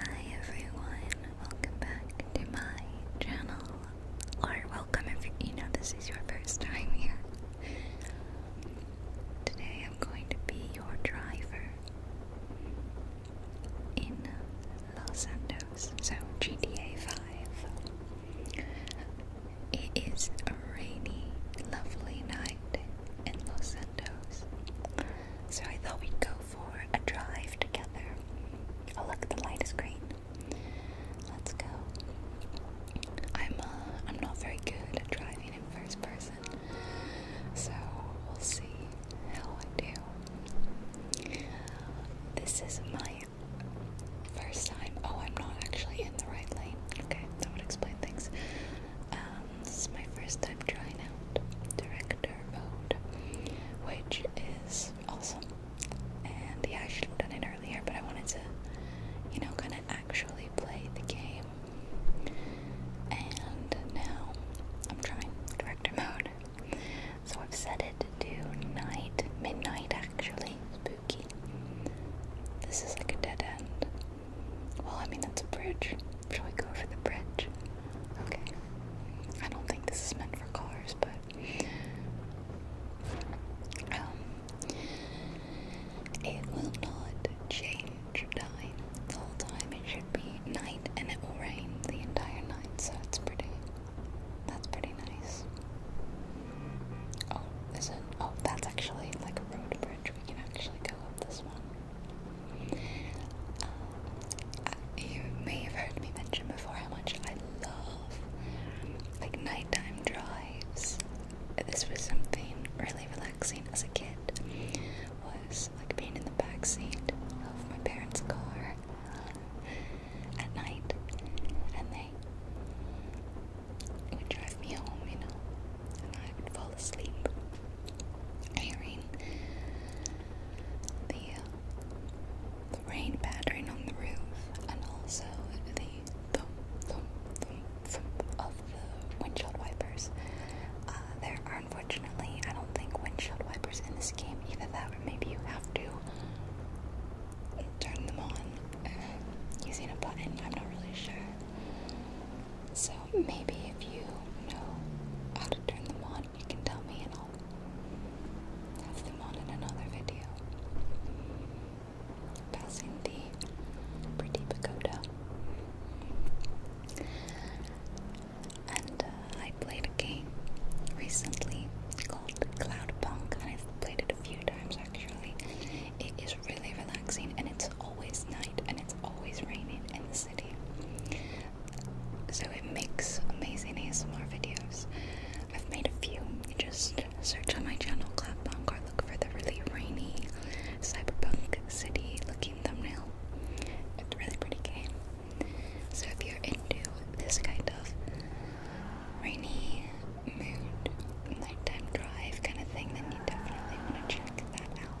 Hi everyone, welcome back to my channel. Or welcome if you know this is your first time here. Today I'm going to be your driver in Los Santos, so GTA 5. It is a rainy, lovely night in Los Santos so I thought we'd go for a drive together. Oh, look, the light is green. Let's go. I'm uh, I'm not very good at driving in first person, so we'll see how I do. This is my first time. Oh, I'm not actually in the right lane. Okay, that would explain things. Um, this is my first time trying out director mode, which is awesome. And yeah, I should have done it earlier, but I wanted to, you know, kind of actually play the game. And now I'm trying director mode. So I've set it to night, midnight actually, spooky. This is like a dead end. Well, I mean, that's a bridge. Shall we go over the bridge? Okay. I don't think this is meant for cars, but. Um. It will not change time. The whole time it should be night and it will rain the entire night, so it's pretty. That's pretty nice. Oh, is it? Oh, that's actually like a road bridge. We can actually go up this one you may have heard me mention before how much I love like nighttime drives. This was something really relaxing as a kid. Was like being in the back seat of my parents' car at night, and they would drive me home, you know, and I would fall asleep hearing the, rain pattering on the roof and also the thump, thump, thump, thump of the windshield wipers. Uh, there are unfortunately, I don't think, windshield wipers in this game. Either that or maybe you have to turn them on uh, using a button. I'm not really sure. So maybe if you know how to turn them on, you can tell me and I'll have them on in another video. Passing the pretty And uh, I played a game recently called Cloudpunk, and i played it a few times actually. It is really relaxing, and it's always night, and always raining in the city. So it makes amazing ASMR videos. I've made a few. You just search on my channel, Clapbunk, or look for the really rainy cyberpunk city looking thumbnail. It's a really pretty game. So if you're into this kind of rainy mood, nighttime drive kind of thing, then you definitely want to check that out.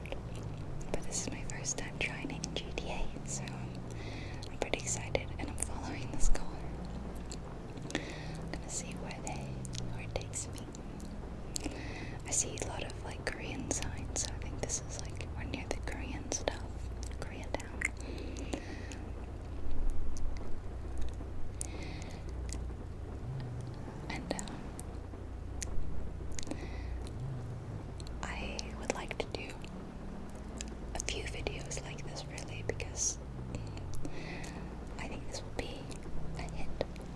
But this is my first time trying it in GTA, so I'm, pretty excited and I'm following this car. I'm gonna see where they where it takes me. I see a lot of like Korean signs, so I think this is like we're near the Korean stuff. Koreatown. And um, I would like to do a few videos like this really because mm, I think this will be a hit.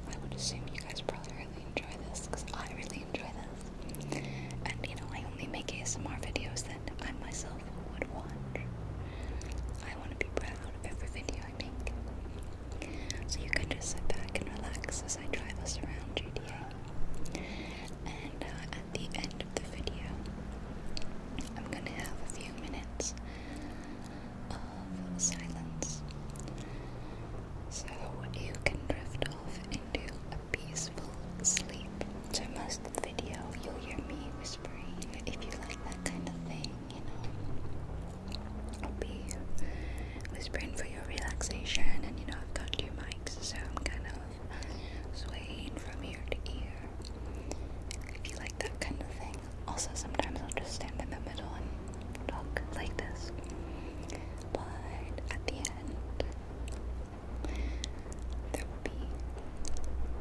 I would assume you guys probably really enjoy this because I really enjoy this. And you know, I only make ASMR videos that I myself would watch. I want to be proud of every video I make. So you can just sit back and relax as I drive us around GTA. And uh, at the end of the video, I'm gonna have a few minutes of silence so you can drift off into a peaceful sleep. So, most of the video, you'll hear me whispering if you like that kind of thing, you know. I'll be whispering for your relaxation, and you know, I've got two mics, so I'm kind of swaying from ear to ear. If you like that kind of thing, also sometimes I'll just stand in the middle and talk like this, but at the end, there will be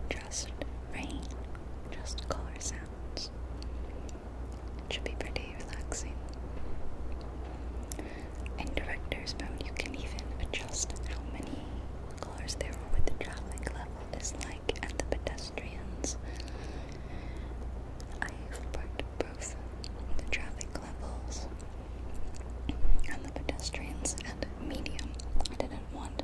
just rain, just color sounds should be pretty relaxing. In Director's mode, you can even adjust how many cars there are, with the traffic level is like, at the pedestrians. I've parked both the traffic levels and the pedestrians at medium. I didn't want.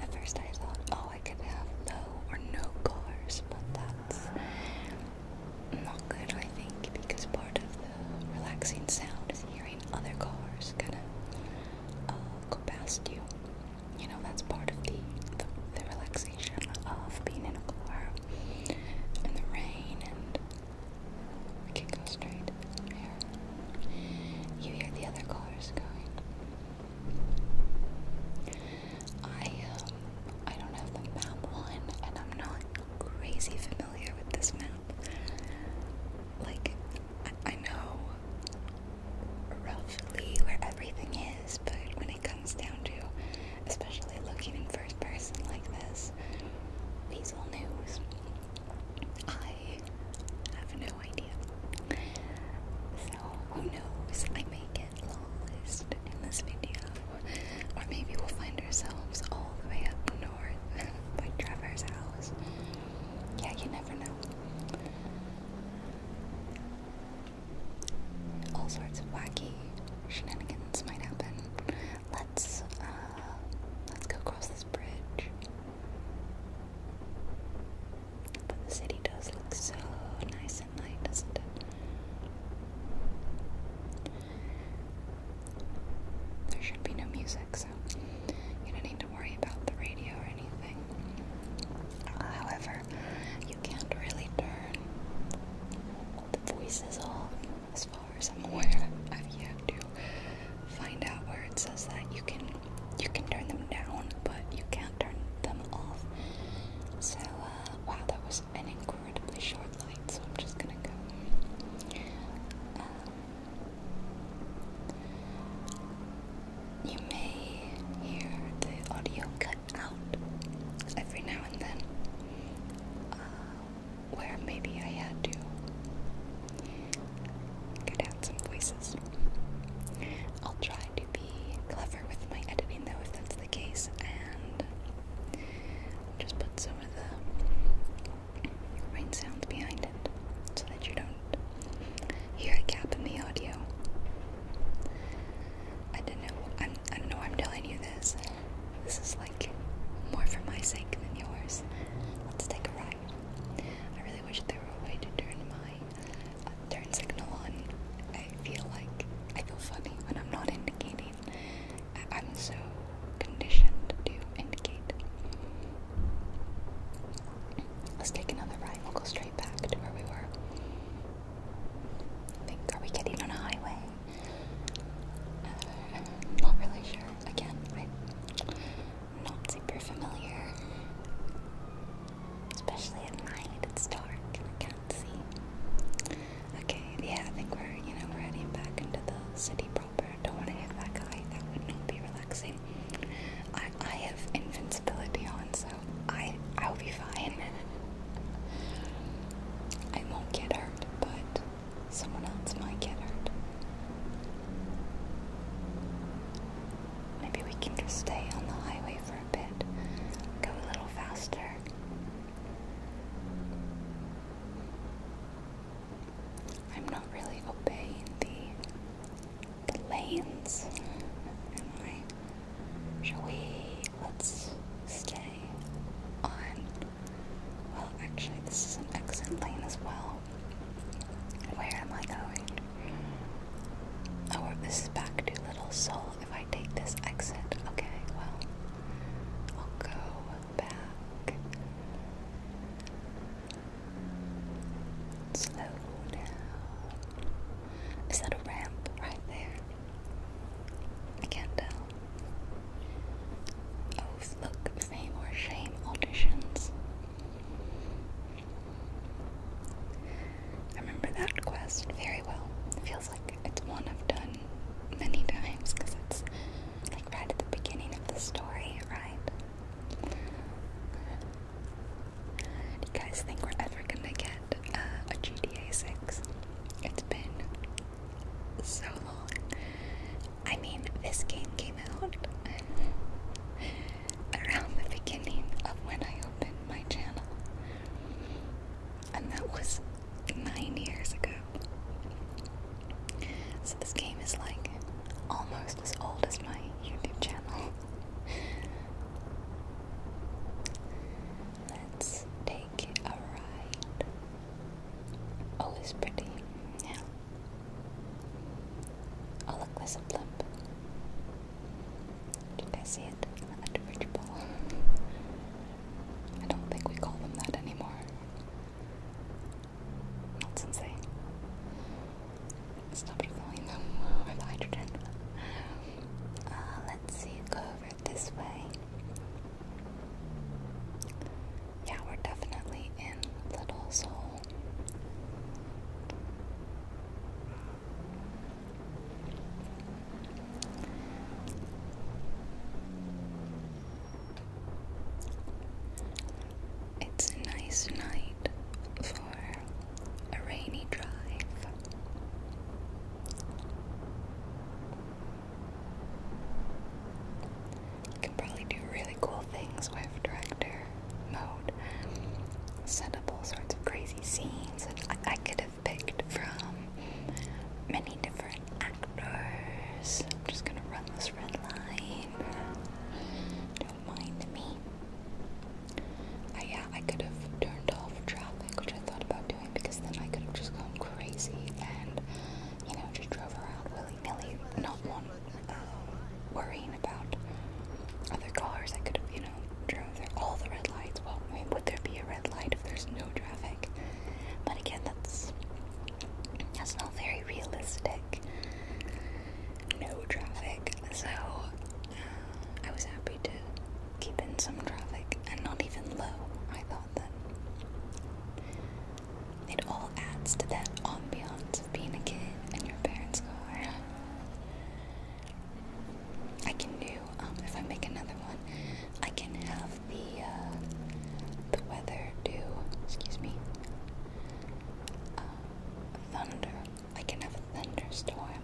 At first, I thought, oh, I can have low or no cars, but that's not good, I think, because part of the relaxing sound is hearing other cars kind of uh, go past you. You know, that's part of the, the relaxation of being in a car in the rain, and we can straight here. You hear the other cars going. I um, I don't have the map one and I'm not crazy familiar with this map. Like I know roughly where everything is, but when it comes down to especially looking in first person like this, Weasel News, I have no idea. So who knows? I may get long in this video. Or maybe we'll find ourselves all the way up north by Trevor's house. Yeah, you never know. All sorts of wacky shenanigans might happen. Let's uh, let's go across this bridge. But the city does look so nice there should be no music, so you don't need to worry about the radio or anything. Uh, however, you can't really turn the voices off as far as I'm aware. I've to find out where it says that you can you can turn them down, but you can't turn them off. So uh, wow, that was an incredibly short light, so I'm just gonna go. Um, you may hear the audio cut out every now and then, uh, where maybe I had to cut out some voices. I'll try to be clever with my editing though if that's the case, and just put some of the rain sounds behind it so that you don't hear a gap the audio. I don't know. I'm, I i do not know. I'm telling you this. This is like more for my sake than yours. Let's take a ride. I really wish there were a way to turn my turn signal on, I feel like I feel funny when I'm not indicating. I am so conditioned to indicate. Let's take another ride. We'll go straight back to where we were. I think are we getting on a highway? Uh, not really sure. Again, I'm not super familiar. Especially at night, it's dark and I can't see. Okay, yeah, I think we're, you know, we're heading back into the city proper. Don't want to hit that guy, that would not be relaxing. I, I have invincibility on, so I, I'll be fine. I won't get hurt, but someone else might get hurt. Maybe we can just stay on the highway for Go a little faster. I'm not really obeying the, the lanes, am I? Shall we? Let's stay on. Well, actually, this is an exit lane as well. Where am I going? Oh, this is back to Little Soul if I take this exit, okay, well, I'll go back. Slow down. Is that a ramp right there? I can't tell. Oh, look, fame or shame auditions. I remember that quest very well. It feels like it's one I've done many times because it's like right at the beginning of the story, right? Do you guys think we're ever gonna get uh, a GTA 6? It's been so long. I mean, this game came out around the beginning of when I opened my channel and that was nine years ago. So this game is like almost as old as my YouTube channel. Let's take a ride. Oh, it's pretty. Yeah. Oh, look, there's a blimp. Do you see it? A I don't think we call them that anymore. Not since they stopped them with hydrogen. Uh, let's see, go over this way. Yeah, we're definitely in Little Soul. It's a nice night for a rainy drive. can probably do really cool things with director mode set up all sorts of crazy scenes that I, could have picked from many different actors. I'm just gonna run this red line. Don't mind me. Uh, yeah, I could have turned off traffic, which I thought about doing because then I could have just gone crazy and, you know, just drove around willy nilly, not one uh, worrying about other cars that could you know, drove through all the red lights. Well, would there be a red light if there's no traffic? But again, that's that's not very realistic. No traffic. So uh, I was happy to keep in some traffic, and not even low. I thought that it all adds to that ambiance of being a kid in your parents' car. I can do um, if I make another one. I can have the uh, the weather do. Excuse me. Uh, thunder. I can have a thunderstorm.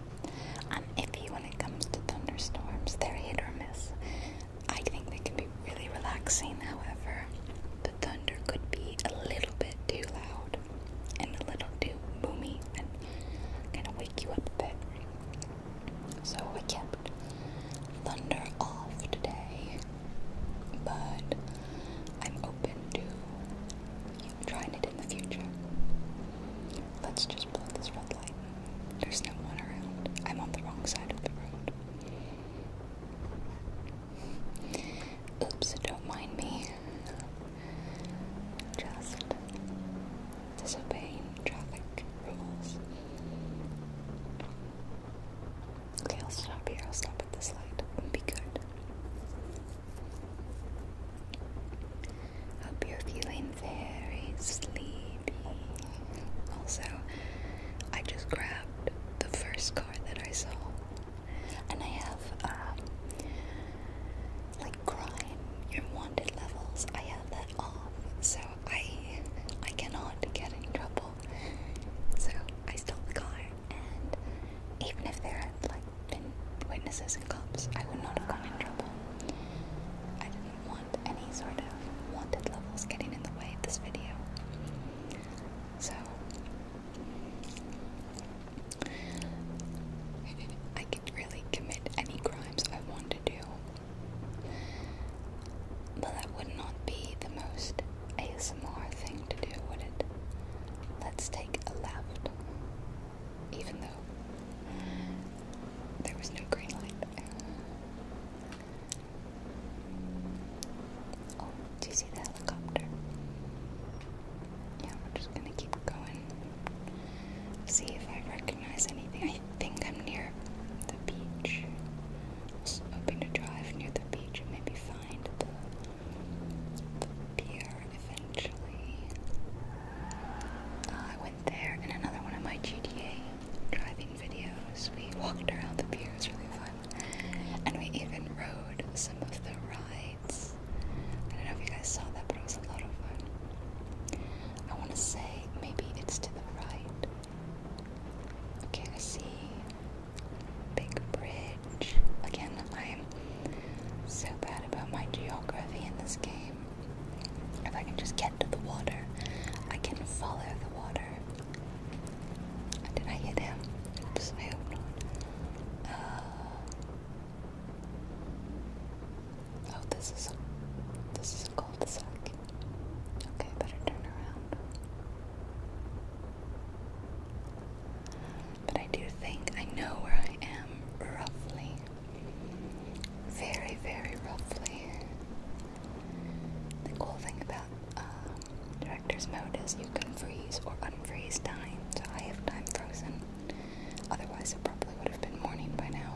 I'm um, iffy when it comes to thunderstorms. They're hit or miss. I think they can be really relaxing. However, the thunder could be a little bit too loud and a little too boomy and gonna wake you up a bit. So I kept thunder off today, but I'm open to trying it in the future. Let's just blow this red light. There's no one around. I'm on the wrong side of the road. Oops, don't mind me just disobeying traffic rules. Okay, I'll stop here. I'll stop at this light be good. Hope you're feeling very sleepy. Also, I just grabbed the first car that I saw, and I have um, about your wanted levels, I have that off, so I I cannot get in trouble. So I stole the and even if there had like been witnesses and cops, I would not have gotten in trouble. I didn't want any sort of wanted levels getting in the way of this video. So I could really commit any crimes I want to do. But that would not be the most ASMR thing to do, would it? Let's take a left. Even though there was no green light. Oh, do you see the helicopter? Yeah, we're just gonna keep going. See if I recognize anything. I think I'm near the beach. Just hoping to drive near the beach and maybe find the, the pier eventually. Uh, I went there in another one of my GTA driving videos. We walked around the pier, it was really fun. And we even rode some of the rides I don't know if you guys saw that, but it was a lot of fun. I want to say maybe it's to the right. Okay, I see big bridge. Again, I'm so bad about my geography in this game. If I can just get to the water, I can follow the water. Did I hit him? Oops, I hope not. Uh, Oh, this is a this is a cul-de-sac. Okay, better turn around. But I do think I know where I am roughly. Very, very roughly. The cool thing about um, director's mode is you can freeze or unfreeze time, so I have time frozen. Otherwise, it probably would have been morning by now.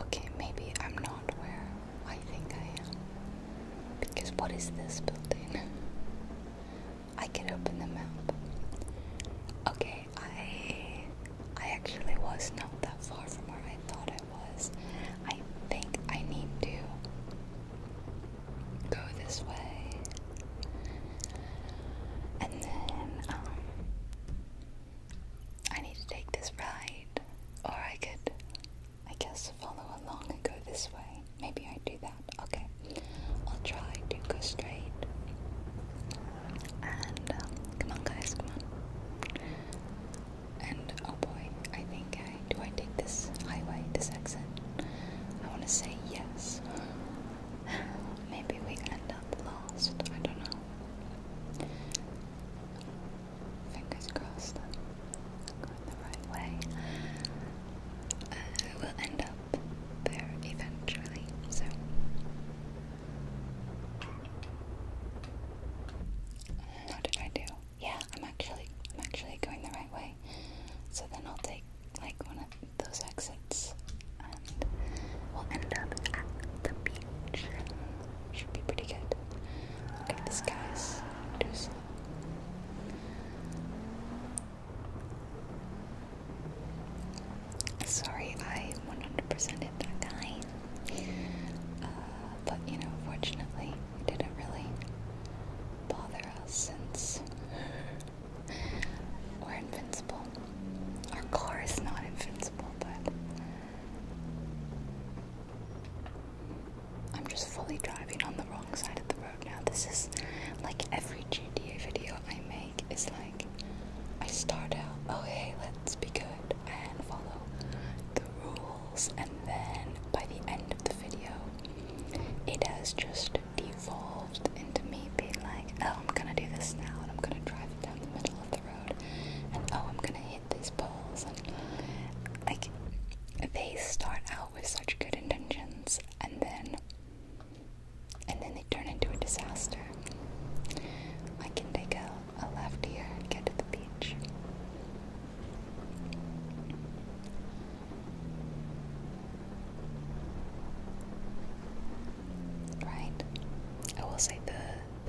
Okay, maybe I'm not where I think I am. Because what is this building? I can open the map. Okay, I I actually was not that far from where I thought I was. I think I need to go this way. And then, um, I need to take this ride, or I could, I guess, follow along and go this way. Maybe I do that. Okay, I'll try to go straight. And um, come on, guys, come on. And oh boy, I think I do I take this highway, this exit? I want to say yes. Maybe we end up lost. I don't know. Fingers crossed. Going the right way. Uh, we'll end up there eventually. So. How did I do? Yeah, I'm actually I'm actually going the right way. So then I'll take like one of those exits and we'll end up at the beach. Should be pretty good. Look at the skies. Too slow. Sorry, I 100% hit that guy. Uh, but you know, fortunately, didn't really bother us since we're invincible. Our car is not invincible, but I'm just fully driving on the wrong side of the road now. This is like every GTA video I make is like I start out, oh hey, let's be good and follow the rules and then by the end of the video it has just devolved into me being like, oh I'm gonna do this now and I'm gonna drive it down the middle of the road and oh I'm gonna hit these poles and like they start out with such good intentions and then and then they turn into a disaster. I can take a, a left here and get to the beach. Right. I will say the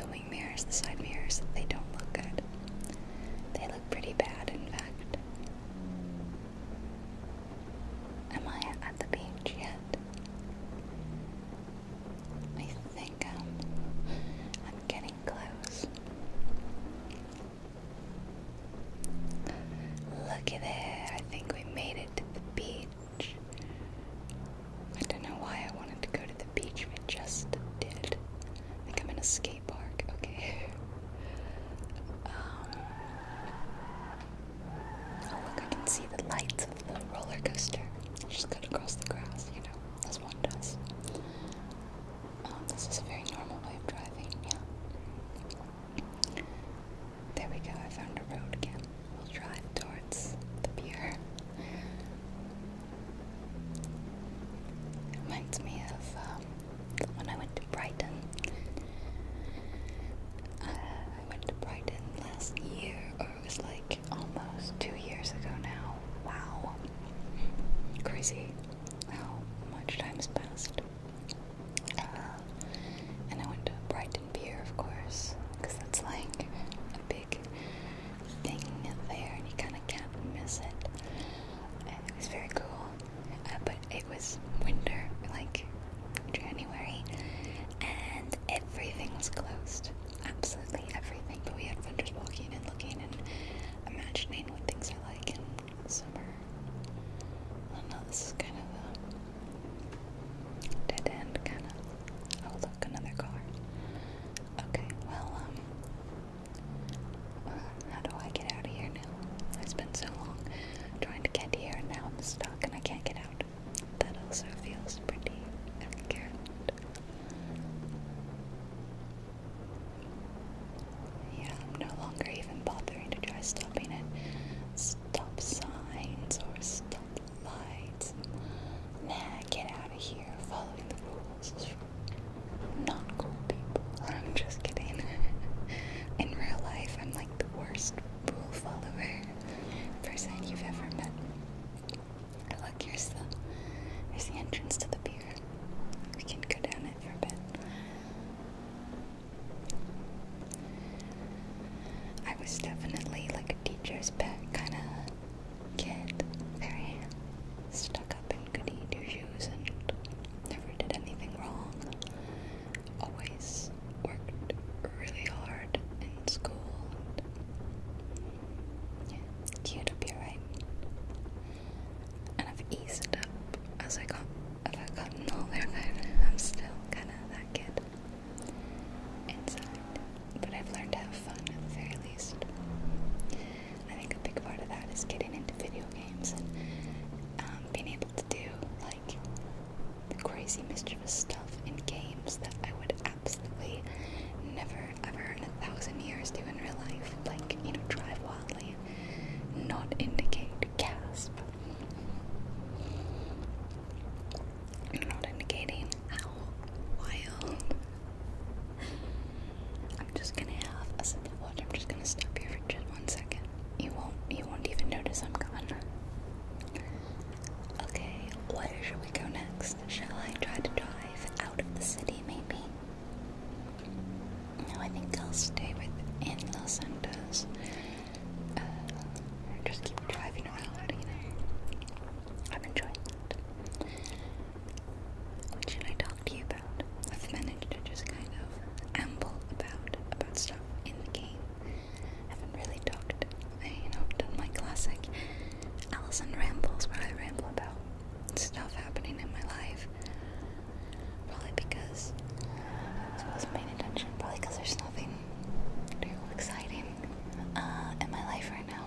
the wing mirrors, the side mirrors, they don't look good. They look pretty bad, in fact. Am I at the beach yet? I think um, I'm getting close. Look at that! I think we made it to the beach. I don't know why I wanted to go to the beach, we just did. I think I'm in a skate park, okay. Um, oh look, I can see the lights of the roller coaster. Just cut across the grass, you know, as one does. Oh, this is a very normal way of driving, yeah. There we go, I found a road again. We'll drive towards the pier. It reminds me of um, when I went to Brighton. Uh, I went to Brighton last year, or it was like almost two years ago now. Wow. Crazy how much time has passed. Uh, and I went to Brighton Pier, of course, because that's like a big thing there, and you kind of can't miss it. And it was very cool, uh, but it was winter, like January, and everything was closed. Absolutely everything. But we had fun just walking and looking and imagining what things are like like in summer. I know, this is kind of a dead end, kind of. Oh, look, another car. Okay, well, um, uh, how do I get out of here now? I spent so long trying to get here, and now I'm stuck and I can't get out. That also feels pretty arrogant. Yeah, I'm no longer even bothering to try stopping it. stop signs or stop lights. Man, get out of here. Following the rules is for not cool people. I'm just kidding. In real life, I'm like the worst rule follower person you've ever met. look, here's the, the entrance to the pier. We can go down it. I was definitely like a teacher's pet kind of kid. Very stuck up and goody two shoes and never did anything wrong. Always worked really hard in school. cute up here, right? and I've eased up as I got. I've gotten all I'm still kind of that kid inside. But I've learned to have fun at the very least. I think a big part of that is getting into video games and um, being able to do like the crazy mischievous stuff in games that I would absolutely never ever in a thousand years do in real life. Like, you know, drive wildly, not indicate, gasp. Not indicating how wild. I'm just gonna have a sip of I'm just gonna stop here for just one second. You won't you won't even notice I'm gone. Okay, where should we go next? Shall I try to drive out of the city maybe? No, I think I'll stay with in Los Santos. Uh, just keep driving around, you know. I'm enjoying it. What should I talk to you about? I've managed to just kind of amble about about stuff in the game. I haven't really talked, I, you know, done my classic Allison rambles where I ramble about stuff happening in my life. Probably because I wasn't paying attention. Probably because there's nothing real exciting uh, in my life right now.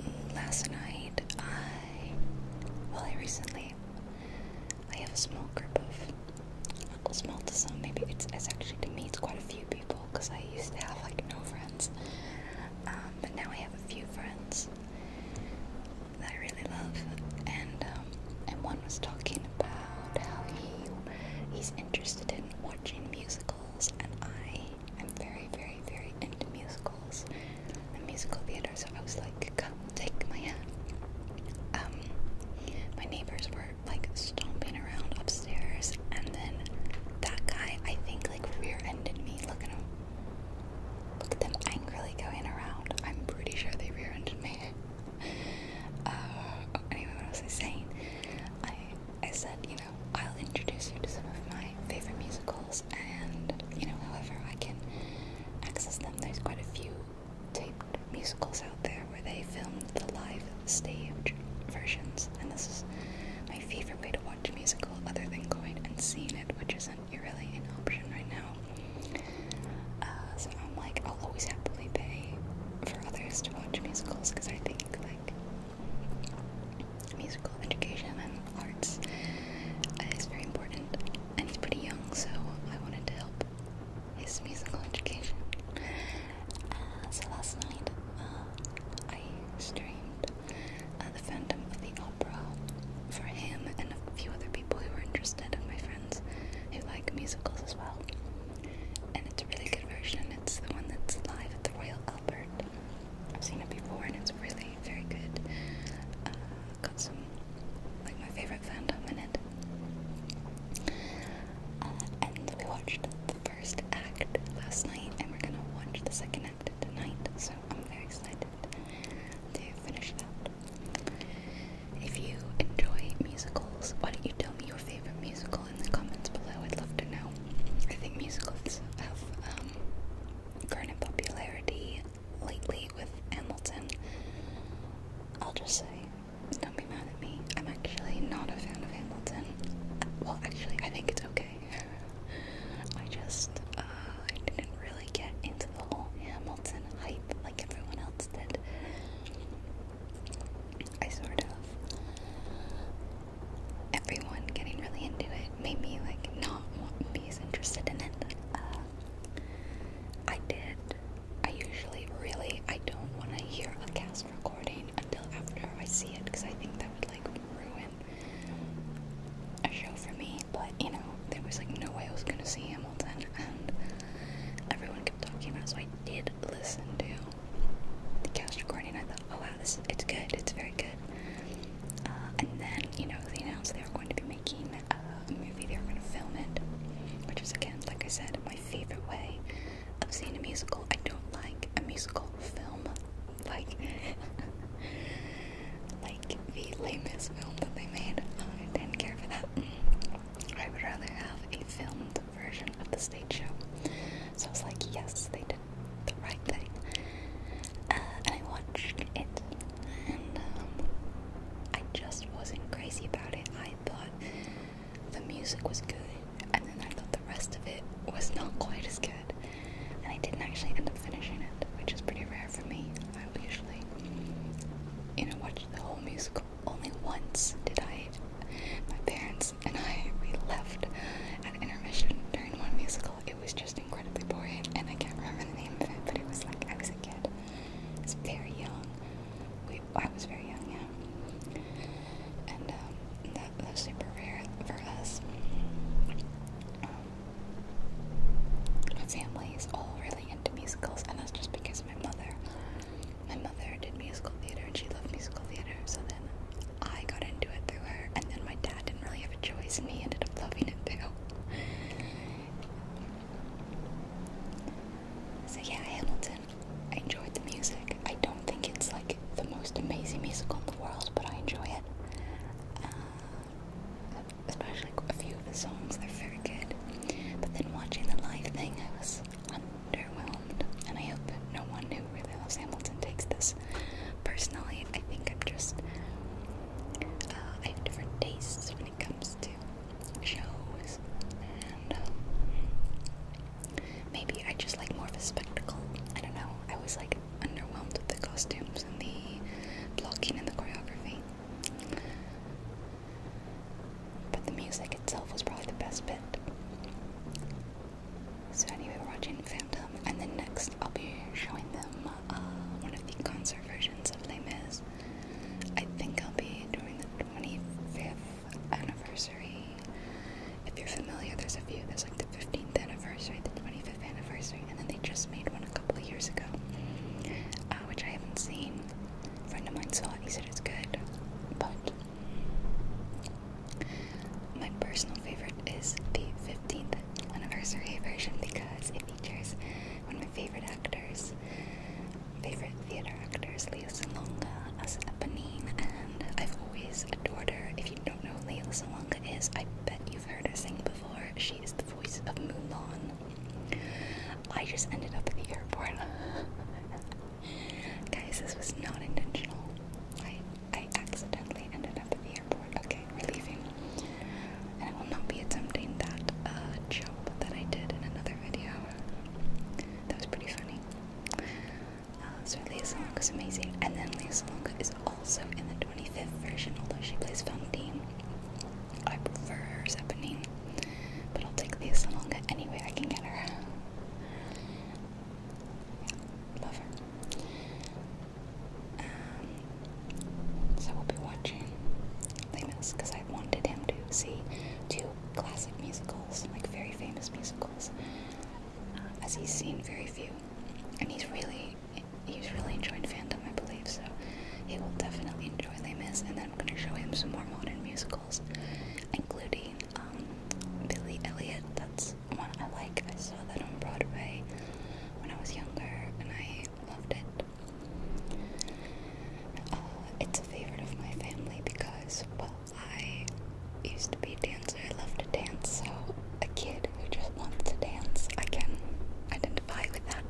Um, last night, I, well, I recently, I have a small group of Small to some, maybe it's, it's actually to me, it's quite a few people because I used to have like no friends, um, but now I have a few friends that I really love, and um, and one was talking about how he he's interested in watching musicals, and I am very very very into musicals and musical theater, so I was like, come take my hand. Um, my neighbors were like stomping around upstairs, and then that guy, I think, like rear-ended me. Look at him. Look at them angrily going around. I'm pretty sure they rear-ended me. Uh, anyway, what was I saying? I I said, you know, I'll introduce you to some of my favorite musicals, and you know, however I can access them. There's quite a few tape musicals out there where they filmed the live stage versions, and this is my favorite way to watch a musical other than going and seeing it, which isn't really an option right now. Uh, so I'm like, I'll always happily pay for others to watch musicals because I think like musical education and arts is very important, and he's pretty young, so I wanted to help his musical education. Uh, so last night uh, I streamed uh, The Phantom of the Opera for him and a few other people who are interested, and my friends who like musicals as well. And it's a really good version. It's the one that's live at the Royal Albert. I've seen it before, and it's really very good. Uh, got some like my favorite fandom in it. Uh, we watched the first act last night, and we're gonna watch the second act tonight, so I'm very excited to finish it If you enjoy musicals, why don't you tell me your favorite musical in the comments below? I'd love to know. I think musicals have um, grown in popularity lately with Hamilton. I'll just say don't be mad at me. I'm actually not a fan of Hamilton. Well, actually, I think it's okay. I just, uh, I didn't really get into the whole Hamilton hype like everyone else did. I sort of. Everyone getting really into it made me, like, not be as interested in it. Uh, I did. I usually really I don't want to hear a cast pause recording until after I see it because I think that would like ruin a show for me. But you know, there was like no way I was gonna see Hamilton, and everyone kept talking about it, so I did listen to the cast recording. I thought, oh wow, this it's good, it's very good. Uh, and then you know they announced they were going to be making a movie. They were going to film it, which is again, like I said, my favorite way I've seen a musical. I don't like a musical film, like like the lamest film that they made. I didn't care for that. I would rather have a filmed version of the stage show. So I was like, yes, they did the right thing. Uh, and I watched it, and um, I just wasn't crazy about it. I thought the music was good, and then I thought the rest of it was not quite as good. And I didn't actually end up finishing it, which is pretty rare for me. I usually, you know, watch the whole musical. Only once did I, my parents and I, we left at intermission during one musical. It was just incredibly boring, and I can't remember the name of it, but it was like I was a kid. it was very young. I was very young, yeah. And um, that was super rare for us. my um, family is all really into musicals, and that's just because my mother. My mother did musical theater, and she loved musical theater, so then I got into it through her, and then my dad didn't really have a choice, and he ended up loving it too. So yeah, Hamilton reason, I enjoyed the music. I don't think it's like the most amazing musical in the world, but I enjoy it. Uh, especially a few of the songs, they're very good. But then watching the live thing, I was underwhelmed. And I hope that no one who really loves Hamilton takes this personally. I think I'm just. Uh, I have different tastes when it comes to shows, and um, maybe I just like more of a spectacle. I don't know. I was like underwhelmed with the costumes and the blocking and the choreography, but the music itself was probably the best bit. So anyway, we're watching Phantom, and then next I'll be showing them uh, one of the concert versions of Les Mis. I think I'll be doing the 25th anniversary. If you're familiar, there's a few. There's like the 15th anniversary, the 25th anniversary, and then they just made one a couple of years ago, uh, which I haven't seen. A friend of mine saw it. He said it's good, but my personal favorite is the 15th anniversary version because it features one of my favorite actors, favorite theater actors, Leah Salonga as Eponine, and I've always adored her. If you don't know who Salonga is, I bet you've heard her sing before. She is the voice of Mulan. I just ended up at the airport. Guys, this was not intentional. I I accidentally ended up at the airport. Okay, we're leaving. And I will not be attempting that uh, jump that I did in another video. That was pretty funny. Uh, so Leah is amazing, and then Leah is also in the 25th version, although she plays Valentine. I prefer her as Eponine, but I'll take Leah Salonga I can get her. love her. Um, so we'll be watching Les Mis because I wanted him to see two classic musicals, like very famous musicals, uh, as he's seen very few, and he's really he's really enjoyed fandom, I believe. So he will definitely enjoy Les Mis, and then I'm gonna show him some more modern musicals, including um, Billy Elliot. That's one I like. I saw that on Broadway when I was younger, and I loved it. Uh, it's a favorite of my family because, well, I used to be a dancer. I love to dance, so a kid who just wants to dance, I can identify with that.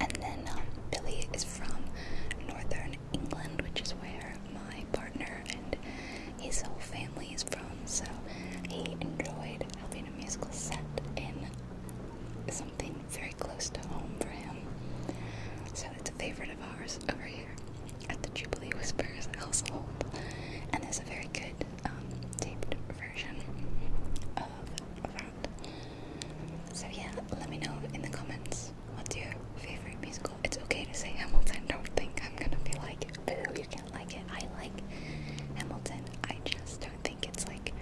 And then um, Billy is from northern England, which is where my partner and his whole family is from, so he enjoyed helping a musical set in. It's something very close to home for him. So it's a favorite of ours over here at the Jubilee Whispers household. And there's a very good um, taped version of that. So yeah, let me know in the comments what's your favorite musical. It's okay to say Hamilton. Don't think I'm gonna be like, boo, you can't like it. I like Hamilton. I just don't think it's like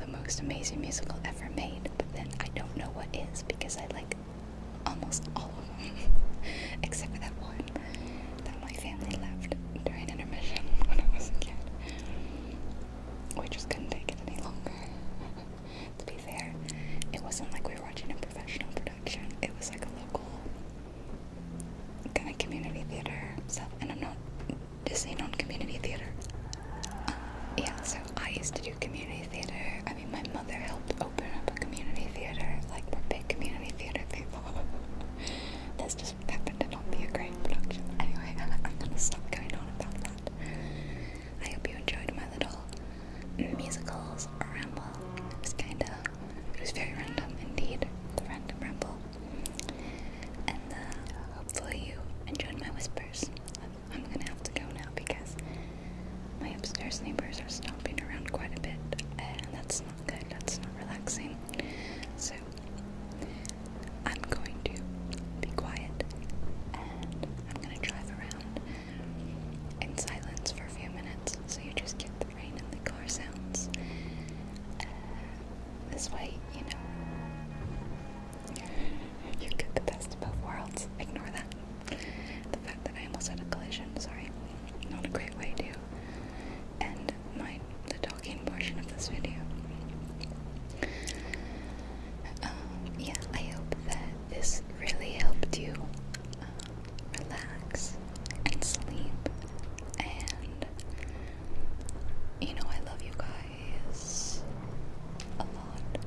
the most amazing musical ever made, but then I don't know what is because I like almost all of them, except for that one that my family left during intermission when I was a kid. We just couldn't take it any longer. to be fair, it wasn't like we were watching a professional production, it was like a local kind of community theater stuff, and I'm not dissing on community theater. Yeah, so I used to do community theater. I mean, my mother helped open up a community theater, like we're big community theater people. That's just happened to not be a great production. Anyway, I'm gonna stop going on about that. I hope you enjoyed my little musicals ramble. It was kinda, it was very random indeed, the random ramble. And uh, hopefully you enjoyed my whispers. I'm gonna have to go now because my upstairs neighbors are stomping around quite a bit, and that's not good, that's not relaxing. So, I'm going to be quiet and I'm gonna drive around in silence for a few minutes so you just get the rain and the car sounds. Uh, this way, you know, you get the best of both worlds. Ignore that. The fact that I almost had a collision, sorry. Not a great way to end my the talking portion of this video. Um, yeah, I hope that this really helped you uh, relax and sleep. And you know, I love you guys a lot.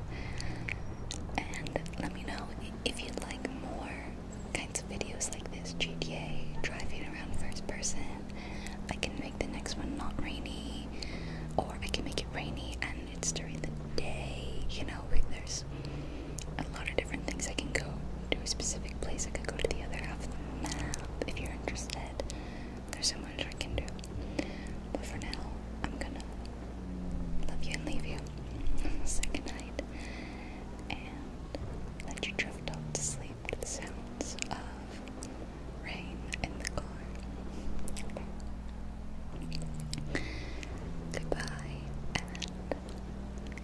And let me know if you'd like more kinds of videos like this GTA, driving around first person. I can make the next one not rainy, or I can make it rainy and it's during the day. You know, there's a lot of different things I can go to a specific place. I could go to the other half of the map if you're interested. There's so much I can do. But for now, I'm gonna love you and leave you. Second night, And let you drift off to sleep to the sounds of rain in the car. Goodbye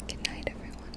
and good everyone.